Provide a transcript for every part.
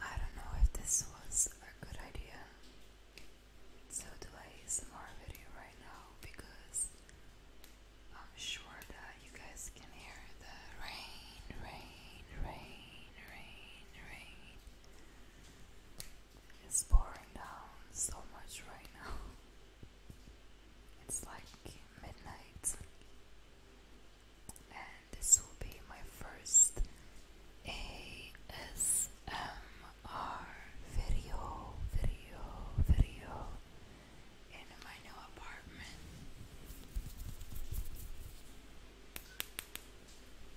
I don't know if this was a good idea. So do I ASMR video right now because I'm sure that you guys can hear the rain, rain, rain, rain, rain. It's pouring down so much right now. It's like midnight. And this will be my first ASMR video, video, video in my new apartment.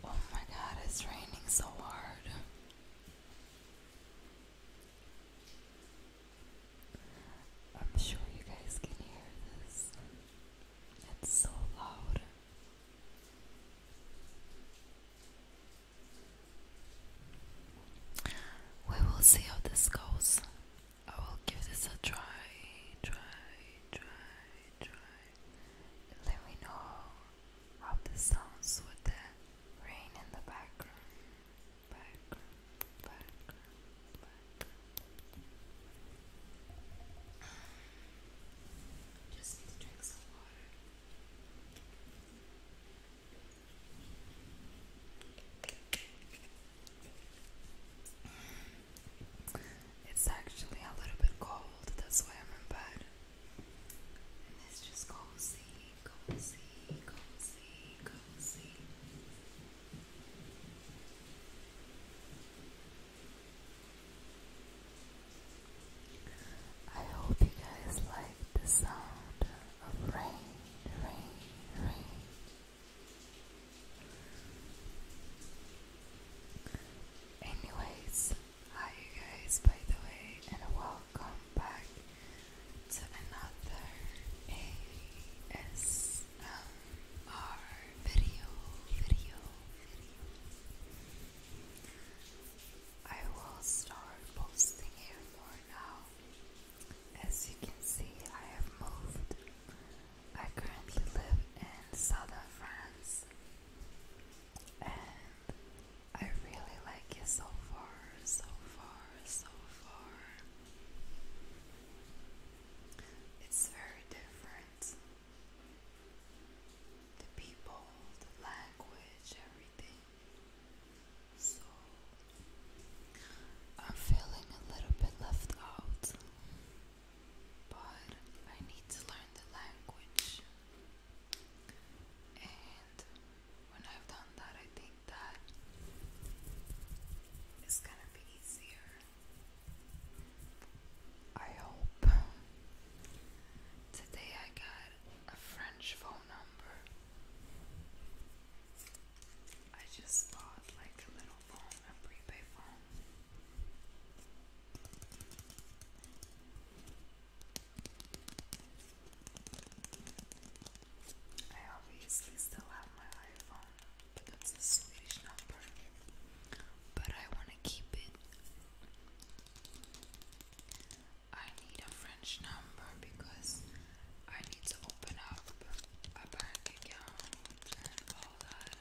Oh my god, it's raining so hard. I'm sure you guys can hear this. It's so loud. We will see how this goes. I will give this a try, try, try, try. Let me know how this sounds with the rain in the background. Just need drink some water. It's actually a little bit cold, that's why I'm in bed. And it's just cozy, cozy, cozy, cozy. I hope you guys like the sound of rain, rain, rain. Anyways, hi you guys by the way and welcome back to another ASMR our video, video, video. I will start posting it for now. As you can see, I have moved. I currently live in southern France and I really like it so far, so far, so far. It's very different. The people, the language, everything. So I'm feeling a little bit left out, but I need to learn the language. And when I've done that, I think think that gonna be easier. I hope. Today I got a French phone number. I just bought like a little phone, a prepaid phone. I obviously still have my iPhone, but that's a Swedish number. But I want to keep it. I need a French number because I need to open up a bank account and all that.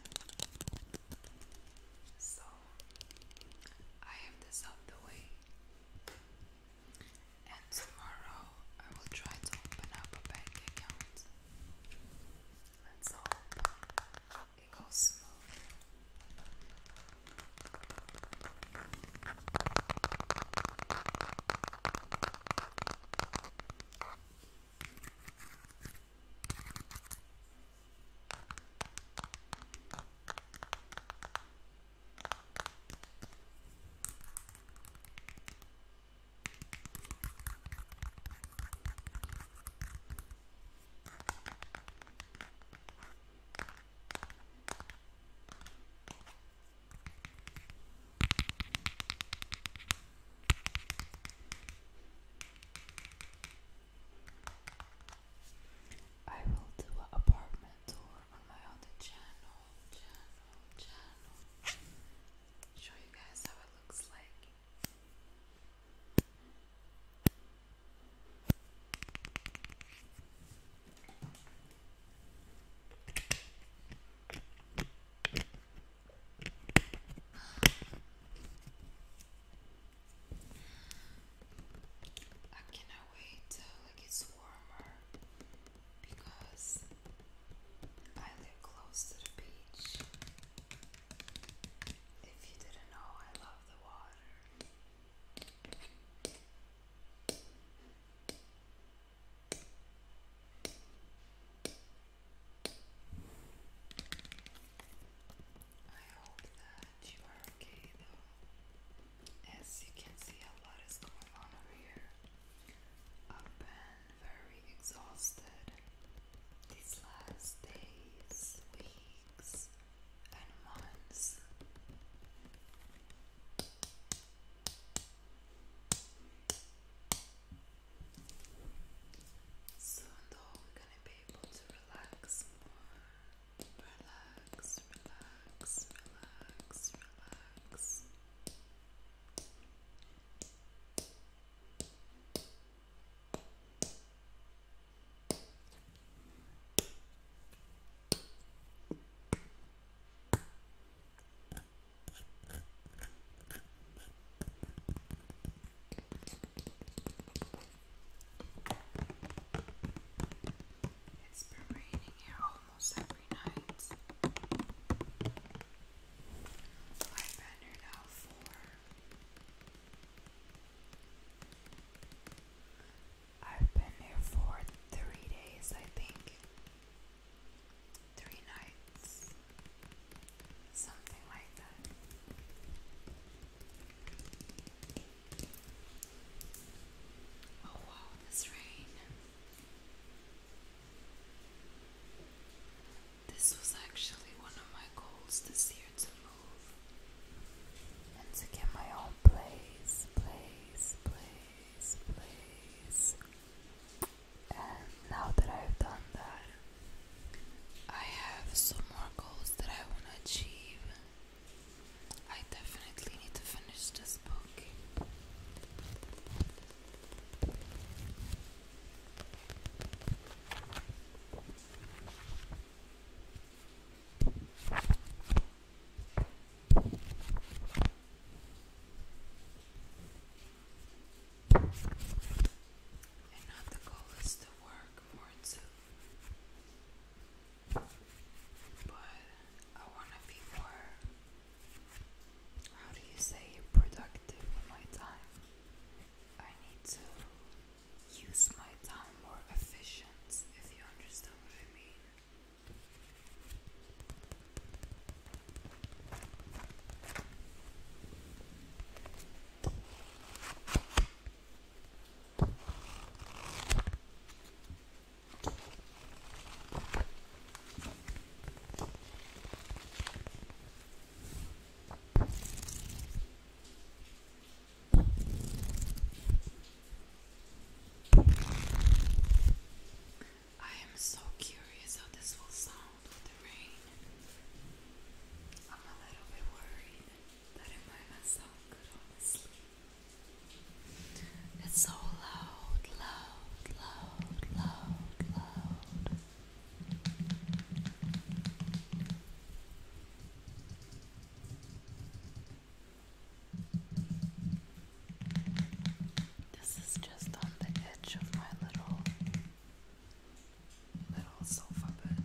So I have this out the way and tomorrow I will try to open up a bank account. Let's hope it goes smooth. I will do an apartment tour on my other channel. Show you guys how it looks like. I cannot wait till it gets warmer because I live close to the beach. If you didn't know, I love the water. I hope that you are okay though. As you can see, a lot is going on over here. I've been very exhausted these last days, weeks, and months. Soon, though, we're gonna be able to relax more. Relax, relax, relax, relax. It's been raining here almost every I've been here for. I've been here for three days, I think. Three nights. Something like that. Oh wow, this rain. This was actually one of my goals this year to move and to get my own place, place, place, place. And now that I've done that, I have some more goals that I want to achieve. I definitely need to finish this book. And now the goal is to work for But I want to be more how do you say productive with my time? I need to use my time more efficient, if you understand what I mean. I am so curious how this will sound with the rain. I'm a little bit worried that it might not sound good, honestly. It's so loud, loud, loud, loud, loud. This is just on the edge of my little little sofa bed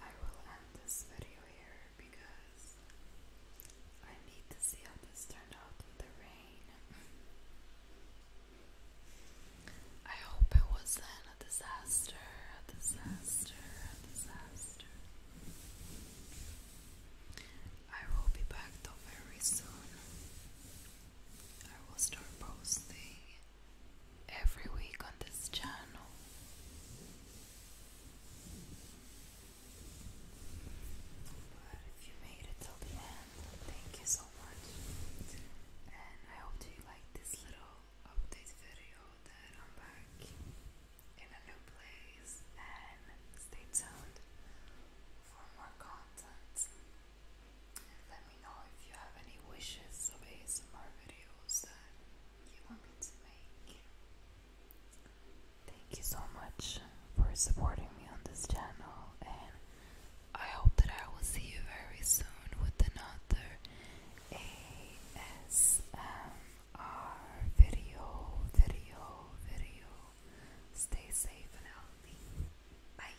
I will end this video here because I need to see how this turned out the rain. I hope it wasn't a disaster, a disaster, a disaster. I will be back though very soon. I will start posting every week on this channel. But if you made it till the end, thank you so much. And I hope you like this little update video that I'm back in a new place. And stay tuned for more content let me know if you have any wishes of ASMR videos that you want me to make. Thank you so much for supporting me on this channel, and I hope that I will see you very soon with another ASMR video, video, video. Stay safe and healthy. Bye.